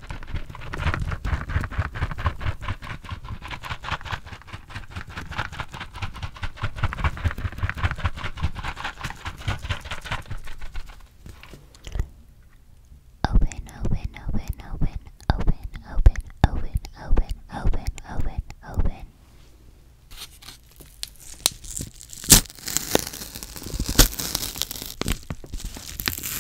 Open, open, open, open, open, open, open, open, open, open, open.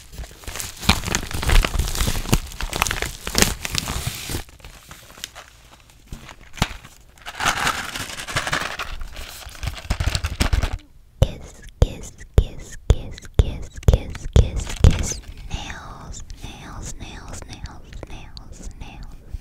Kiss, kiss, kiss, kiss, kiss, kiss, kiss, kiss. Nails, nails, nails, nails, nails, nails, nails.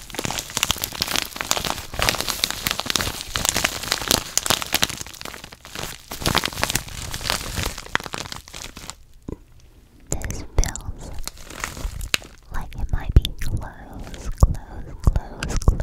This feels like it might be close, close, close, close, close.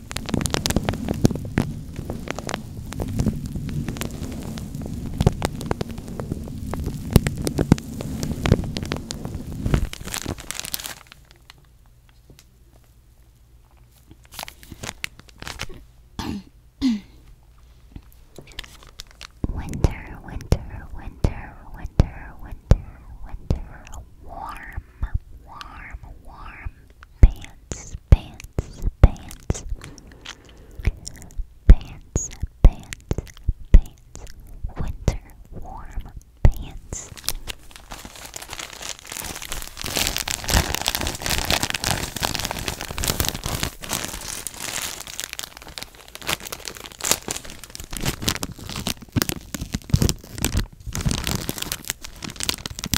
winter, winter, winter, winter, winter, winter, warm, warm, warm pants pants, pants, pants, pants, pants, winter warm pants.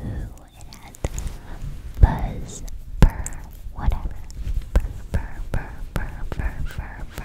Ooh, it has buzz, burr, whatever. Burr, burr, burr, burr, burr, burr, burr.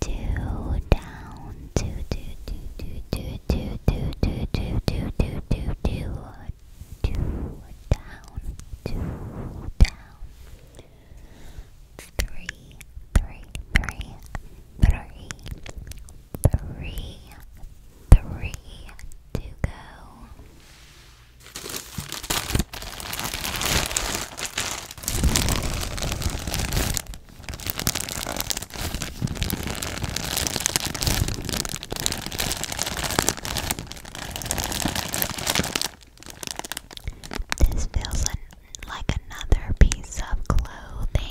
Two down, two, two, two, two, two, two, two, two, two, two, two, two, two, two down, two down. Three, three, three, three, three, three to go. This feels like another piece of clothing.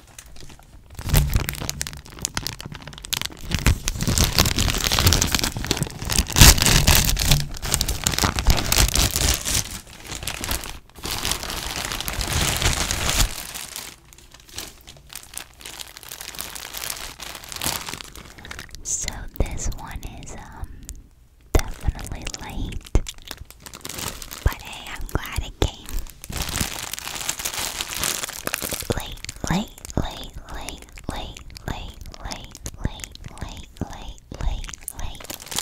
So this one is um definitely late. But hey, I'm glad it came. Late, late, late, late, late, late, late, late, late, late, late, late.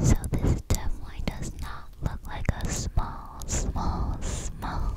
So this definitely does not look like a small, small, small.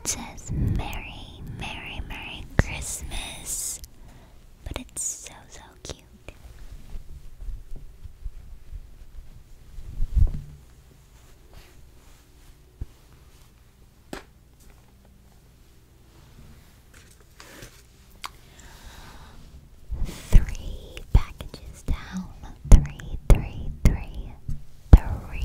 It says Merry, Merry, Merry Christmas but it's so, so cute. Three packages down. Three, three, three, three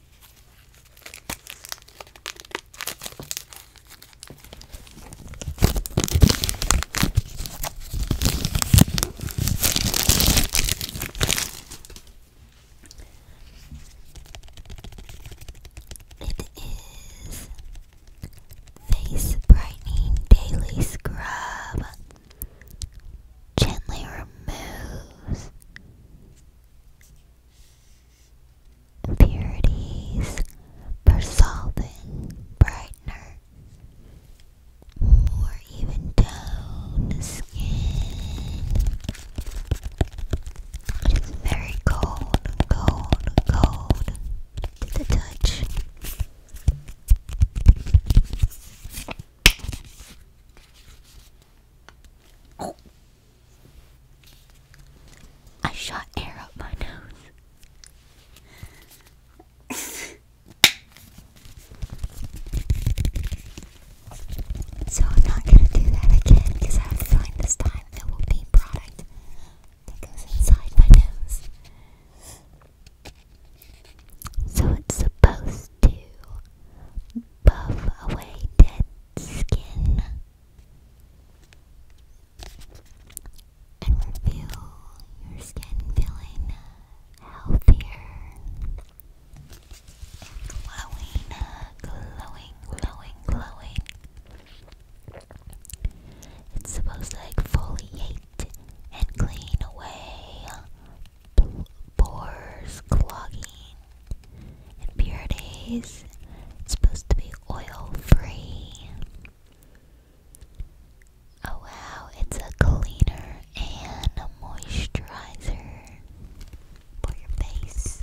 It is Face Brightening Daily Scrub. Gently removes Impurities, Persolving, Brightener, More Even down the Skin. It is very cold, cold, cold to the touch. I shot air up my nose. so I'm not gonna do that again because I have this time it will be product that goes inside my nose. So it's supposed to puff away dead skin and reveal your skin feeling healthier glowing, glowing, glowing, glowing. It's supposed to exfoliate and clean away pores clogging and Pure Days, it's supposed to be oil free. Oh wow, it's a cleaner and a moisturizer for your face.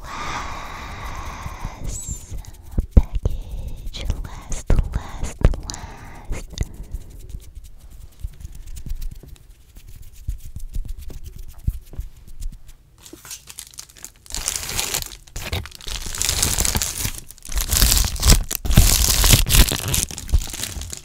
Last package, last, last, last.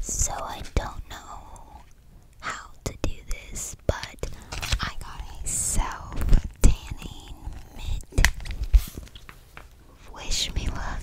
So I don't know how to do this, but I got a self tanning mitt. Wish me luck.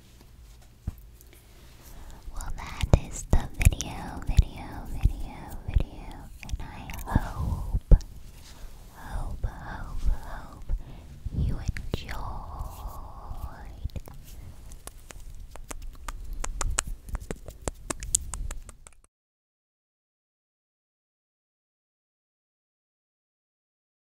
Well, that is the video, video, video, video, and I hope, hope, hope, hope you enjoyed.